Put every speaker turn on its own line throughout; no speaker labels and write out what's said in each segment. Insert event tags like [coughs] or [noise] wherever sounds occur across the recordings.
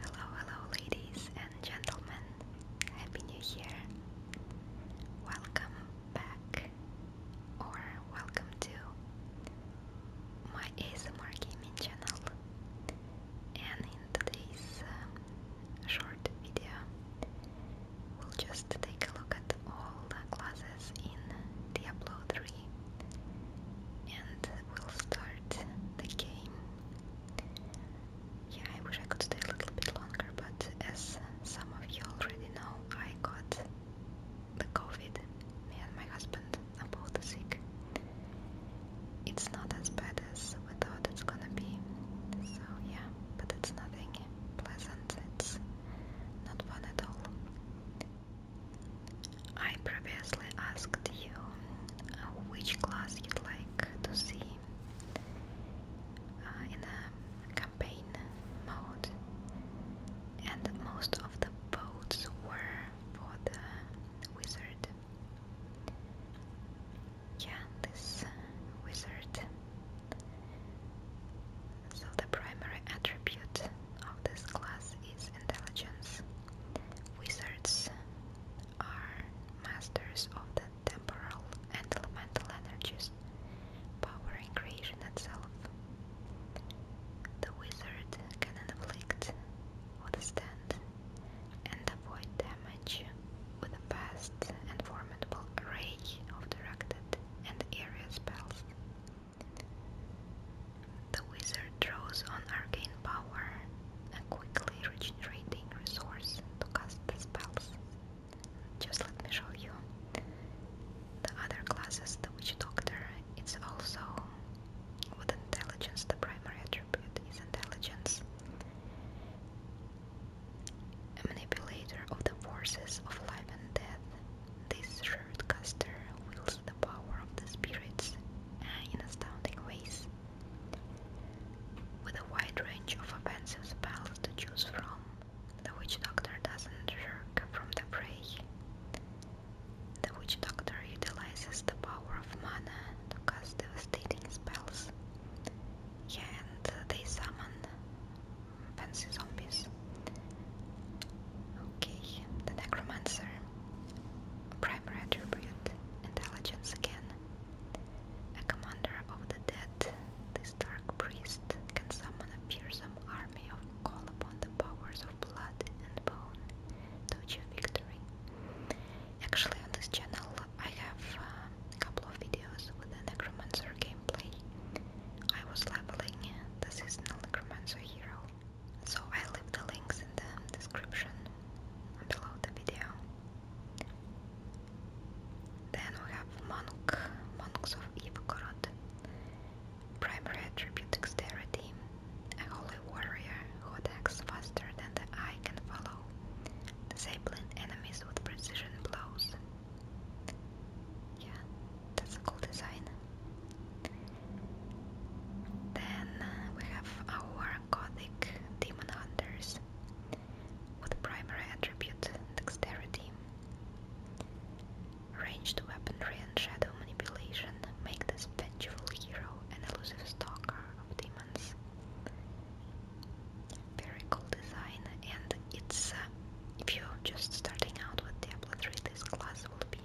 Hello, hello, ladies and gentlemen. Happy New Year. Welcome back, or welcome to my ASMR gaming channel. And in today's um, short video, we'll just take a look at all the classes in Diablo 3 and we'll start the game yeah, I wish I could stay a little bit longer, but as some of you already know, I got the COVID. Me and my husband are both sick. It's not as bad as we thought it's gonna be. So yeah, but it's nothing pleasant. It's not fun at all. I previously asked you uh, which class you'd like to see uh, in a campaign mode, and most of the votes were for the wizard. Yeah, this wizard. So, the primary attribute of this class is intelligence. Wizards are masters of the temporal and elemental energies, powering creation itself. The wizard can inflict, withstand, and avoid damage with a vast and formidable array of directed and area spells. The wizard draws on arcane power, a quickly regenerating resource to cast the spells. Just let me show you. The other classes, the witch doctor, it's also with intelligence, the primary attribute is intelligence. A manipulator of the forces of life and death, this shroud caster wields the power of the spirits Ah, in astounding ways. With a wide range of offensive spells to choose from, the Witch Doctor doesn't shirk from the prey. The Witch Doctor utilizes the power of mana to cast devastating spells, and they summon fancy zombies. Okay, the Necromancer. Primary attribute, intelligence again. A commander of the dead, this dark priest can summon a fearsome army of call upon the powers of blood and bone to achieve victory. Actually, on this channel I have uh, a couple of videos with the necromancer gameplay. I was leveling the seasonal necromancer hero so I leave the links in the description below the video. Then we have Monk, Monks of Ivgorod, primary attribute dexterity, a holy warrior who attacks faster than the eye can follow, disabling enemies with precision blows. Yeah, that's a cool design. Then we have our Gothic Demon Hunters with primary attribute Dexterity. Ranged weaponry and shadow manipulation make this vengeful hero an elusive stalker of demons. Very cool design, and it's uh, if you're just starting out with Diablo 3, this class will be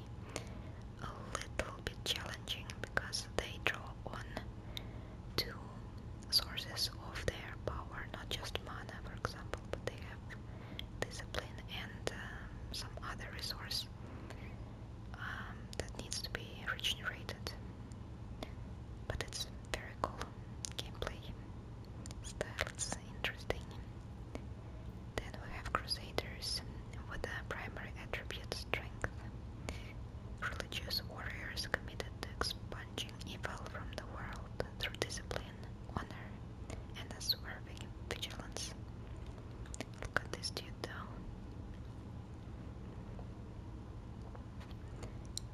a little bit challenging because they draw on two sources of their power, not just mana, for example, but they have discipline and um, some other resource um, that needs to be regenerated. But it's very cool gameplay style, it's interesting. Then we have crusaders with a primary attribute strength. Religious warriors committed to expunging evil from the world through discipline, honor, and unswerving vigilance. Look at this dude though.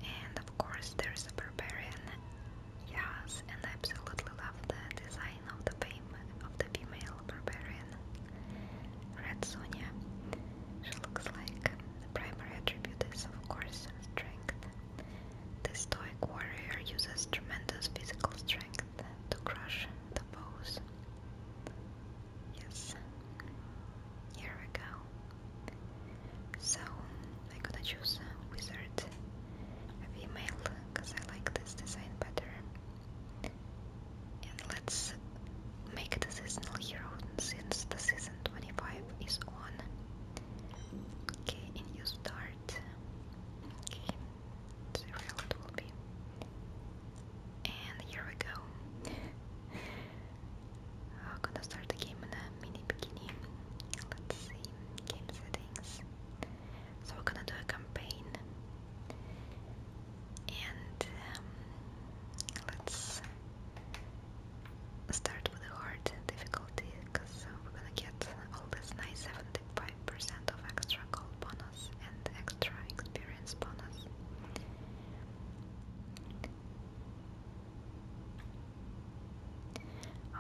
And of course there's a barbarian. Yes, and I absolutely love the design of the fame of the female barbarian. Red Sonia. She looks like primary attribute is of course strength. The stoic warrior uses tremendous physical strength to crush the foes. Yes. Here we go. So I'm gonna choose a wizard, a female, because I like this design better. And let's make the seasonal hero since the season 25 is on. Okay, and you start. Okay, zero it will be. And here we go. I'm [laughs] gonna start the game in a mini bikini. Let's see, game settings. So we're gonna do a campaign, and um, let's start with a hard difficulty because we're gonna get all this nice 75% of extra gold bonus and extra experience bonus.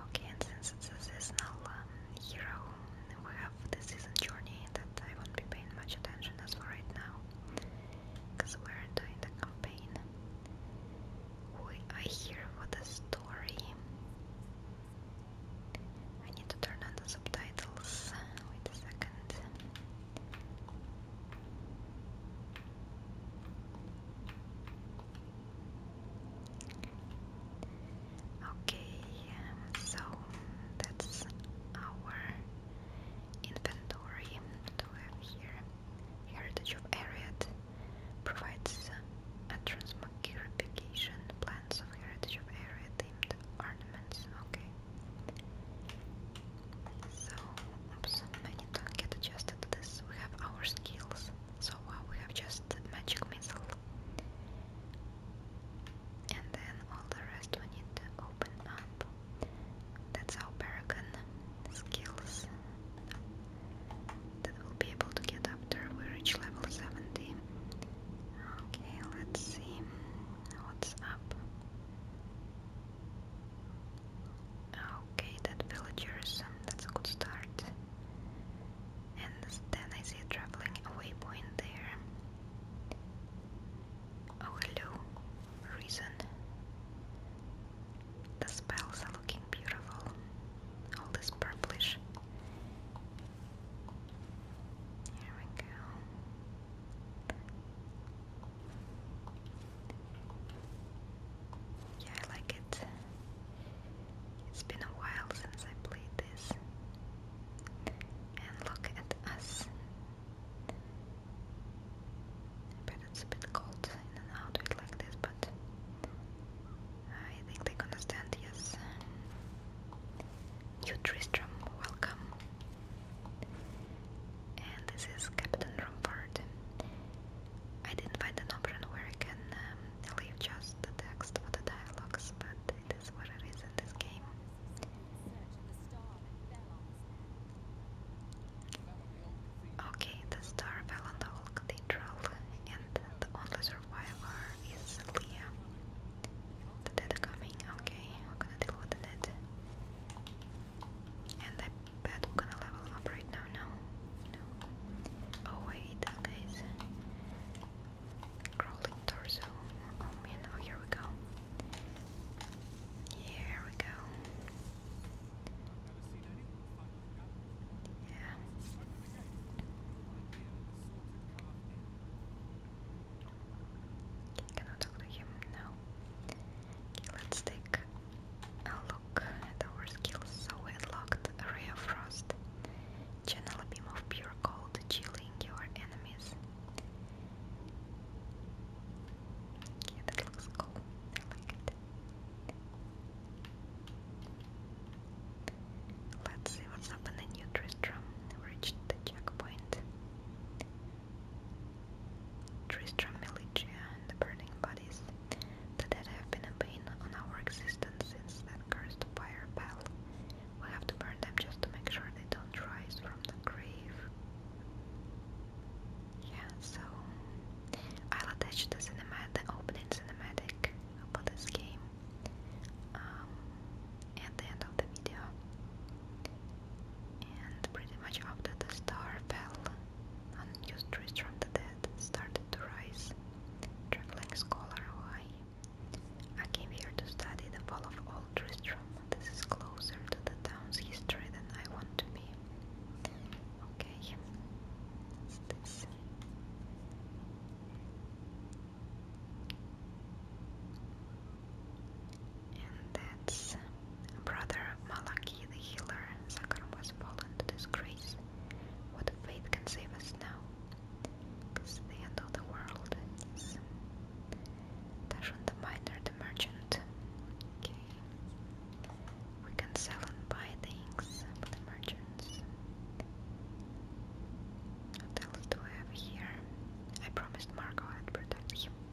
Okay, and since it's a seasonal um, hero, we have the season journey that I won't be paying much attention as for right now because we're doing the campaign. I hear what the story. I need to turn on the subtitles. Wait a second. Okay, um, so that's our inventory to have here. Heritage of Ariad provides a transmogrification plans of Heritage of Ariad themed ornaments. Okay. So, oops, I need to get adjusted to this. We have our skills. So, uh, we have just magic missile and then all the rest we need to up. That's our paragon skills that we'll be able to get after we reach level 70. Okay, let's see what's up. Okay, that villagers, um, that's a good start and then I see a traveling waypoint there. Oh hello, Reason. The spells are looking beautiful. All this purplish. Here we go. Yeah, I like it. It's been a while since I played this. And look at us. But it's a bit cold in an outfit like this, but I think they can understand, yes. You Tristram, welcome. And this is Captain Rumford. I didn't find an option where I can um, leave just the text for the dialogues, but it is what it is in this game. Okay, the star fell on the whole cathedral, and the only survivor is Leah. The dead coming, okay, we're gonna deal the dead. And I bet gonna level up right now, no? No. Oh wait, guys. Crawling torso. Oh man, oh here we go. Here we go. Yeah. Can I him now? Okay, let's take a look at our skills. So we unlocked Ray of Frost, Channel Beam of Pure you called chilling your enemies. Yeah, that looks cool. I like it. Let's see what's up in the new Tristram. We the checkpoint. Tristram Militia and burning bodies that have been a pain on our existence since cursed fire bell. We have to burn them just to make sure they don't rise from the grave. Yeah, so I'll attach the cinematic, the opening cinematic for this game um, at the end of the video. And pretty much after the star fell, unused trees from the dead started to rise. Traveling scholar, why? I came here to study the fall of Old Tristram. This is closer to the town's history than I want to be. Okay, And that's brother Malaki the healer. Sakharum was fallen to disgrace. What fate can save us now? It's the end of the world. It's Dashon the miner, the merchant. Okay. We can sell and buy things for the merchants. What else do I have here? I promised Marco I'd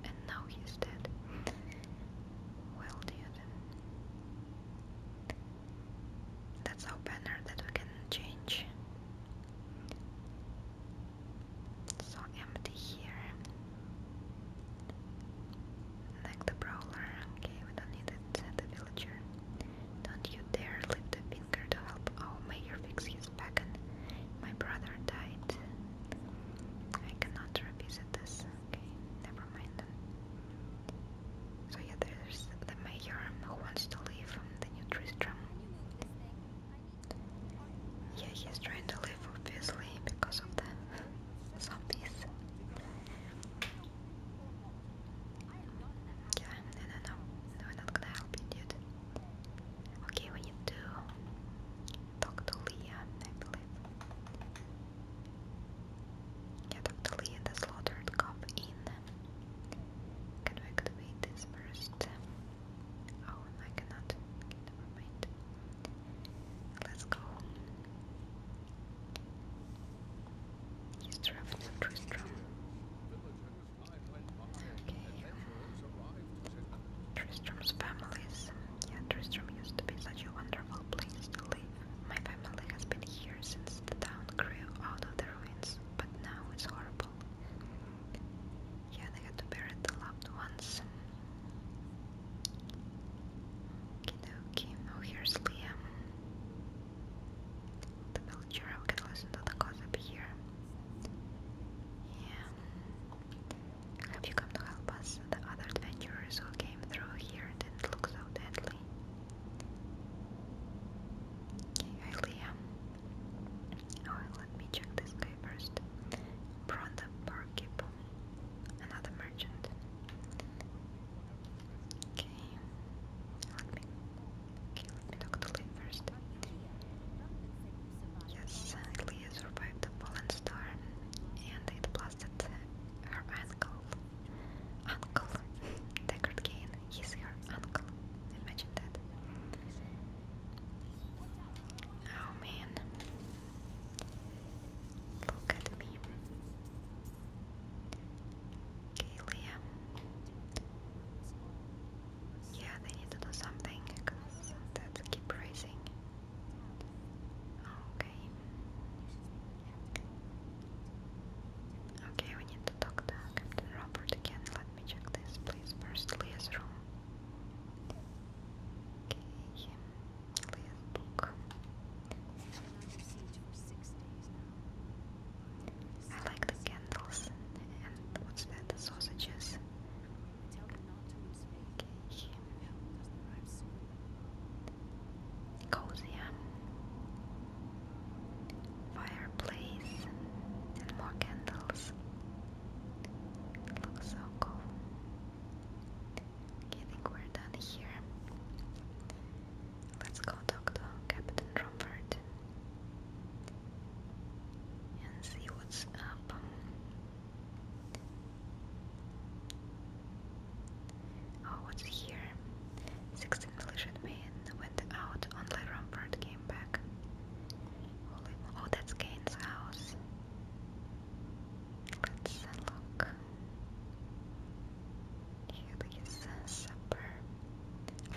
and now he's dead. Well, dude. That's our banner that we can change. So empty here. Like the brawler. Okay, we don't need it. The villager. Don't you dare lift a finger to help. Oh, Mayor fix his back my brother died. I cannot revisit this. Okay, never mind. So yeah, there's the mayor who wants to leave from the new Tristram. Yeah, he's trying to leave obviously because of the zombies. Yeah, no, no, no, no, i not gonna help you, dude. Okay, we need to talk to Leah, I believe. Get of Lee and the slaughtered cop in. Can we activate this first? Oh, I cannot. Let's go. He's trapped in Tristram. Okay. Tristram's families. Yeah, Tristram used to be such a wonderful place to live. My family has been here since the town grew out of the ruins, but now it's horrible. Yeah, they had to bury the loved ones. Okie dokie. Oh, here's Liam. The villager, I can listen to the gossip here. Yeah. Have you come to help us? The other adventurers who came through here didn't so deadly. Lily. Okay, Oh, let me check this guy first. Bronda Barkeep, another merchant. Okay, let me. let me talk to Lee first. Yes, Leah survived the fallen star, and it blasted her ankle uncle. Deckard Kane, he's her uncle. Imagine that. Oh man. Look at me. Kalia. Yeah, they need to do something because that's keep raising. Okay. Okay, we need to talk to Captain Robert again. Let me check this, please. First, Leah's room. Okay, Leah's book. I like the candles and, what's that? The sausages cozy fireplace and more candles. looks so cool. Okay, think we're done here. Let's go talk to Captain Romford and see what's up. Oh, what's here? 16 men went out, on only Rampart came back. oh, that's Kane's house. Let's look. Here Here is uh, supper.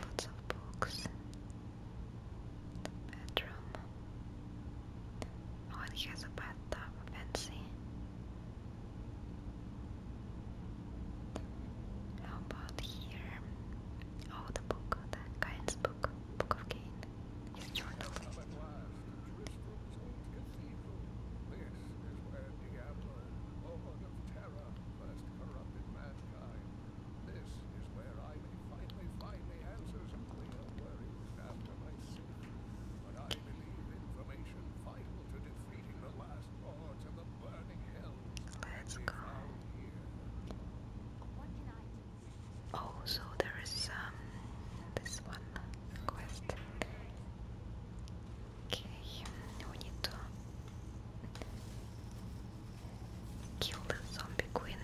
Lots of books. bedroom. Oh, he has a bathtub. Fancy. How about here?
Oh, the book, the Cain's book, Book of Cain, his journal. This is where Diablo, Lord of Terror, first corrupted mankind. This is where I may finally find the answers and clear worries after my sin. But I believe information vital to defeating the last. Let's go. Oh, so there is um this one quest. Okay, we need to kill the zombie queen,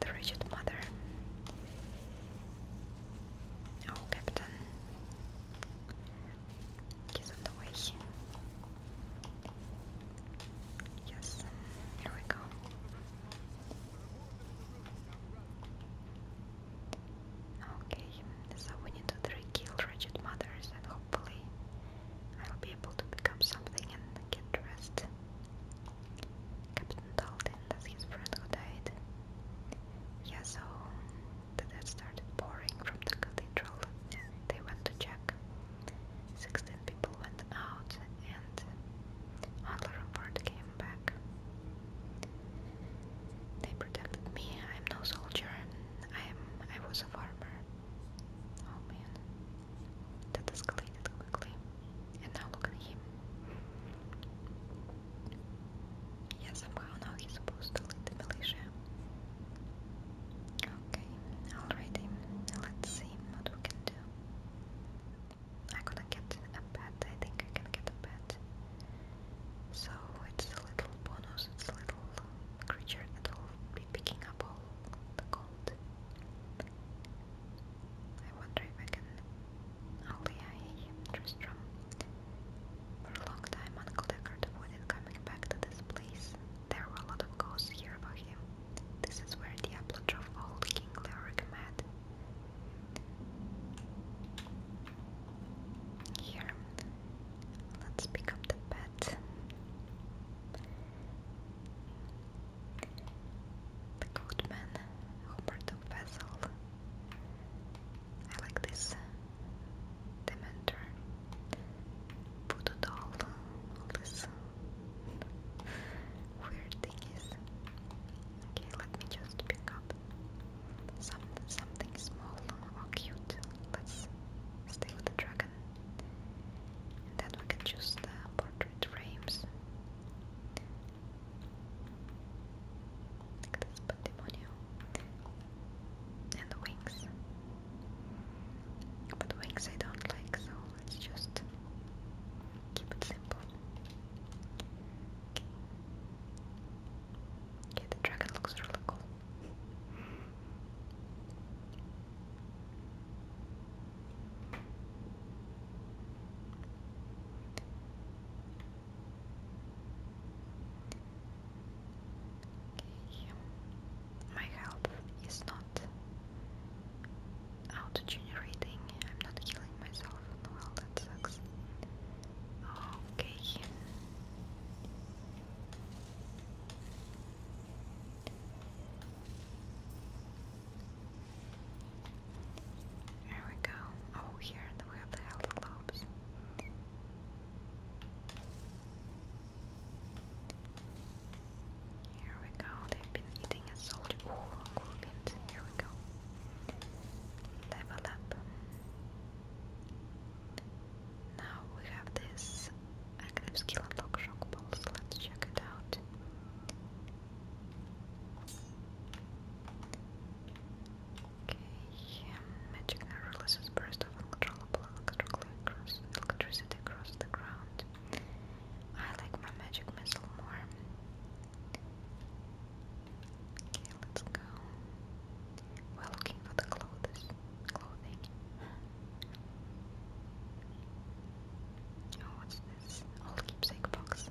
the rigid mother.
Oh, Captain. He's on the way. Yes, here we go. Okay, so we need to kill wretched mothers and hopefully I'll be able to pick up something and get dressed. Captain Dalton, that's his friend who died. Yeah, so that had started pouring from the cathedral, they went to check. Sixteen people went out, and on the report came back. They protected me. I'm no soldier. I'm. I was a farmer. Oh man, that escalated quickly. And now look at him. Yeah, somehow now he's supposed to lead the militia. Okay, alrighty. Let's see what we can do. I'm gonna get a pet. I think I can get a pet. So it's a little bonus. It's a little creature that will be picking up all the gold. I wonder if I can. Oh yeah, just from for a long time, Uncle Deckard avoided coming back to this place. There were a lot of ghosts here about him. This is where Diablo drove old King Leoric mad. Here, let's pick up the pet. The goatman, Hubert of Vessel. I like this uh, Dementor, Voodoo doll, all this uh, weird thingies. Okay, let me just pick up some something small or cute. Let's stay with the dragon. And then can choose the portrait frames. Look this pandemonium. And wings. But wings I don't like, so let's just keep it simple. Okay, the dragon looks really cool. My health is not auto generating, I'm not healing myself. Well, that sucks. Okay. There we go. Oh, here we have the health globes. Here we go, they've been eating a soldier. Ooh, cool Here we go. Level up. Now we have this active skill unlock shock pulse. Let's check it out. Okay, magic now releases burst of uncontrollable electricity across the ground. I like my magic missile more. Okay, let's go. We're looking for the clothes. Clothing. [gasps]
Oh, what's this? All keepsake box.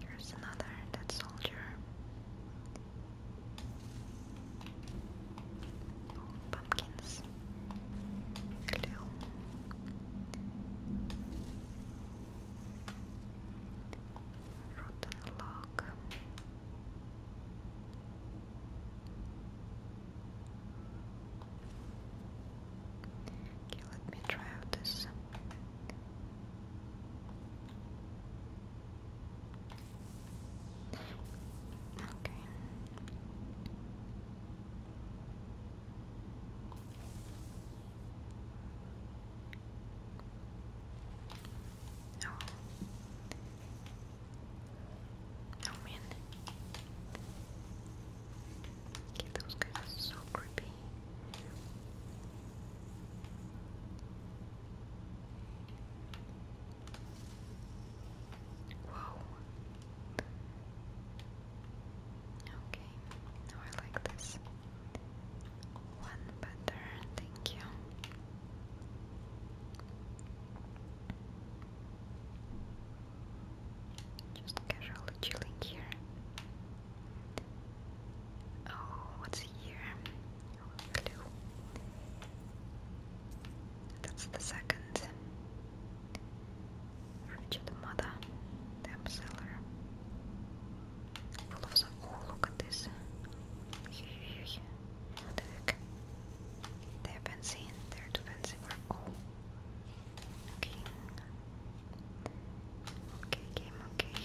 Here's another dead soldier.
pumpkins. Glue. Rotten log. Okay, let me try out this Okay. Oh. Oh man. those guys are so creepy. Whoa. Okay, I like this one better, thank you. Just casually chilling here. Oh, what's here? Clue. That's the second. Richard Mother, damn seller. Full of some. Oh, look at this. Here, here, here. What the heck? They're too fancy Oh. Okay. Okay, game, okay.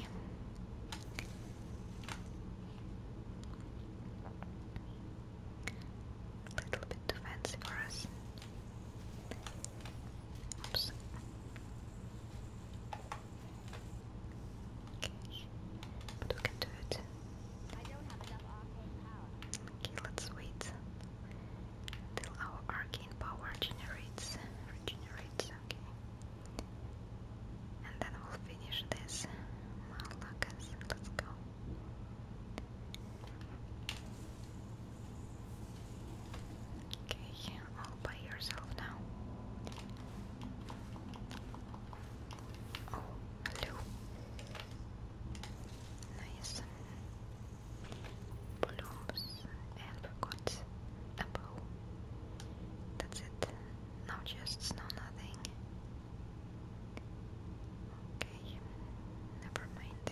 A little bit too fancy for us. Oops. Okay, but we can do it. Okay, let's wait till our arcane power generates. Regenerates, okay. And then we'll finish this Malakas. Let's go. Okay, all by yourself now. Oh, hello. Nice. Blooms and got a That's it. Now just snow nothing. Okay, never mind.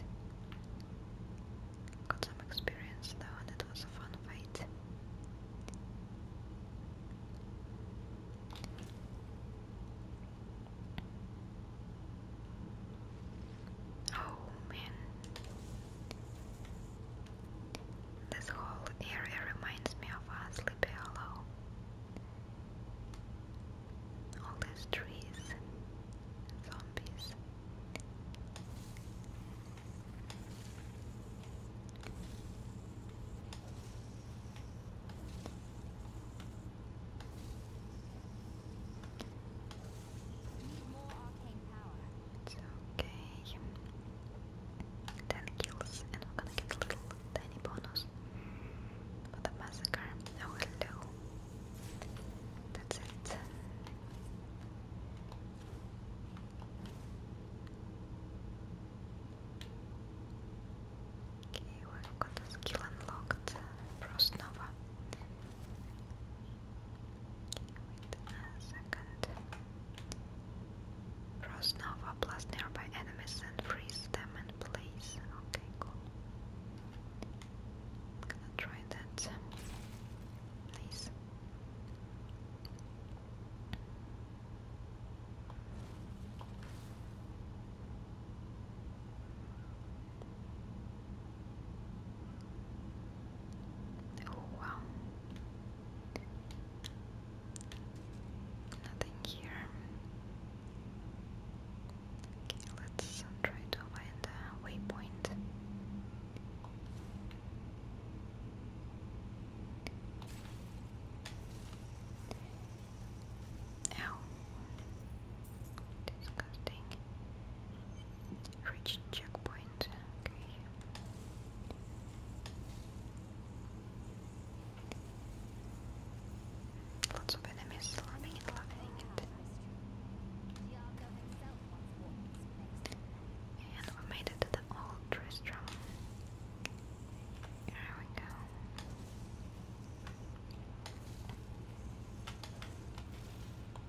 Got some experience though, and it was a fun fight. Oh man, this whole area reminds me of a sleepy hollow. All these trees zombies. It's okay. 10 kills, and we're gonna get a little tiny bonus for the massacre. Oh, hello. That's it. Okay, we've got a skill unlocked, Frost Nova wait a second. Cross Nova plus nearby enemies and freeze them in place. Okay, cool. gonna try that. Please. Oh wow. Nothing here. Okay, let's try to find a waypoint. Ow. Disgusting. Reach checkpoint. Okay. Lots of enemies loving it, loving And we made it to the old restaurant. There we go.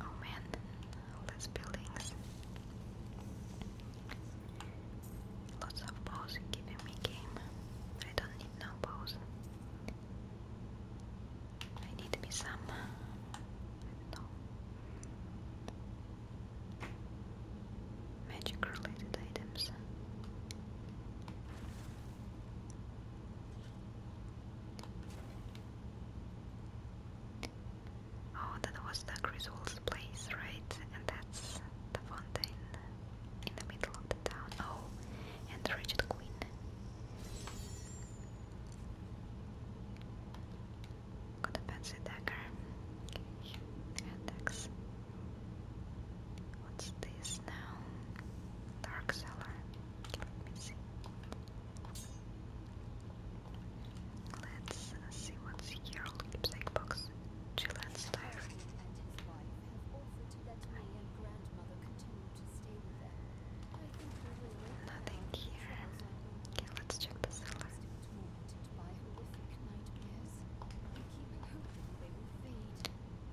Oh man, all these buildings. Lots of bows giving me game. I don't need no bows. I need me some. Magic related items. Oh, that was the Griswold's place, right? And that's the fountain in the middle of the town. Oh, and the Queen.
Got a fancy dagger. Hand axe. What's this now? Dark cellar. Let us see what's here on the keepsake box. Chilean's diary. And his wife have offered
to let me and grandmother continue to stay with them. I think we will wait Nothing here. Okay, let's check the cellar.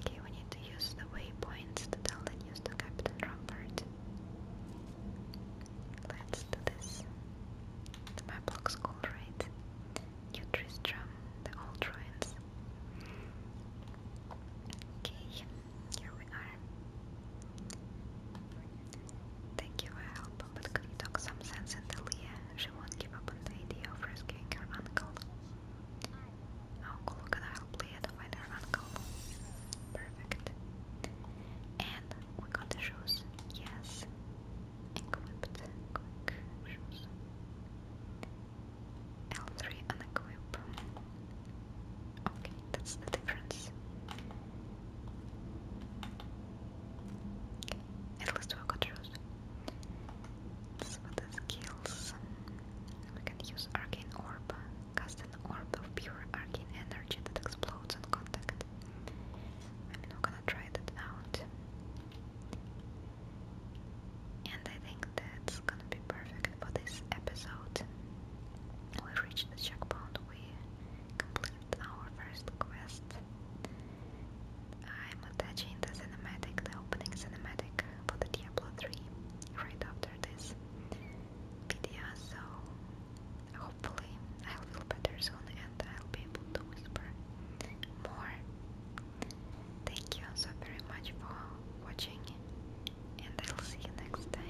Okay, we need to use the waypoints to tell the news to Captain Rumford. Let's do this. The map looks cool, right? New Tristram, the old ruins. Okay, here we are. Thank you for help, but could you talk some sense into Leah? She won't give up on the idea of rescuing her uncle. Uncle, look at that, I'll play it by Perfect. And we got the shoes. Yes. Equipped. Quick shoes. L3 unequip. Okay, that's the difference. At least we got shoes. This with skills. We can use Arcane Orb. Cast an orb of pure arcane energy that explodes on contact. I'm not gonna try that out. And I think that's gonna be perfect for this episode. We reached the checkpoint, we completed our first quest. I'm attaching the cinematic, the opening cinematic for the Diablo 3 right after this video, so hopefully I'll feel better soon and I'll be able to whisper more. Thank you so very much for watching and I'll see you next time.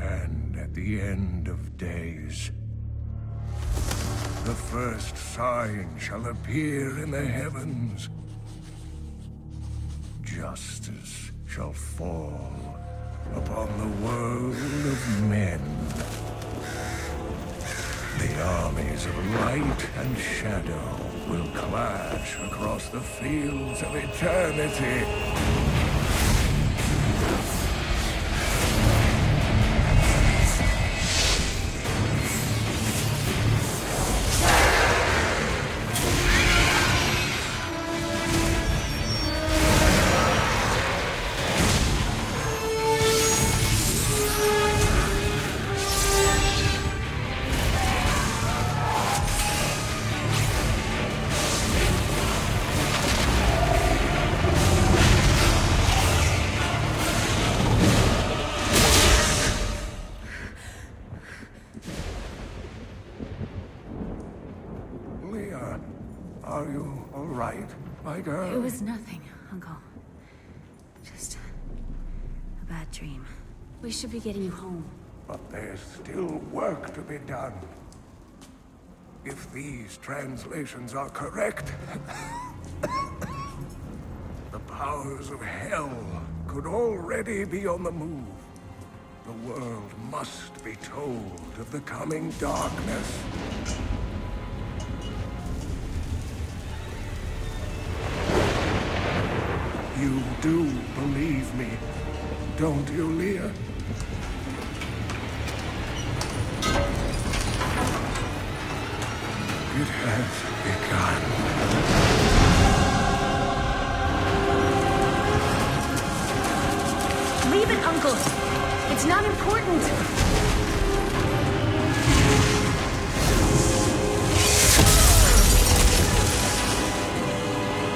And at the end of days, the first sign shall appear in the heavens. Justice shall fall upon the world of men. The armies of light and shadow will clash across the fields of eternity. Leah, Are you all right, my girl? It was nothing, Uncle. Just a bad dream. We should be getting you home. But there's still work to be done. If these translations are correct, [coughs] the powers of hell could already be on the move. The world must be told of the coming darkness. You do believe me, don't you, Leah? It has begun. Leave it, Uncle. It's not important.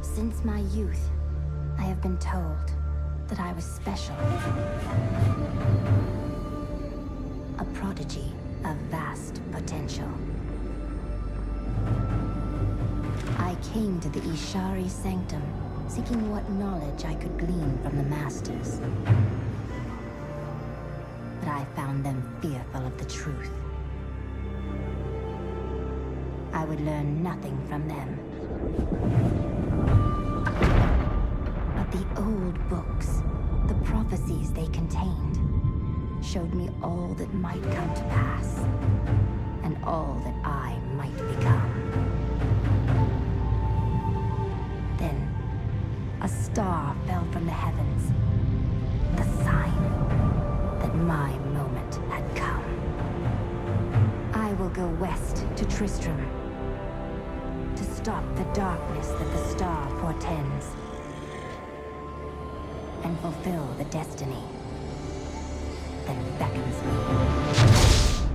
Since my youth, I have been told that I was special. A prodigy of vast potential. I came to the Ishari Sanctum, seeking what knowledge I could glean from the Masters but I found them fearful of the truth. I would learn nothing from them. But the old books, the prophecies they contained, showed me all that might come to pass, and all that I might become. Then, a star fell from the heavens. The sign that my moment had come. I will go west to Tristram to stop the darkness that the star portends and fulfill the destiny that beckons me.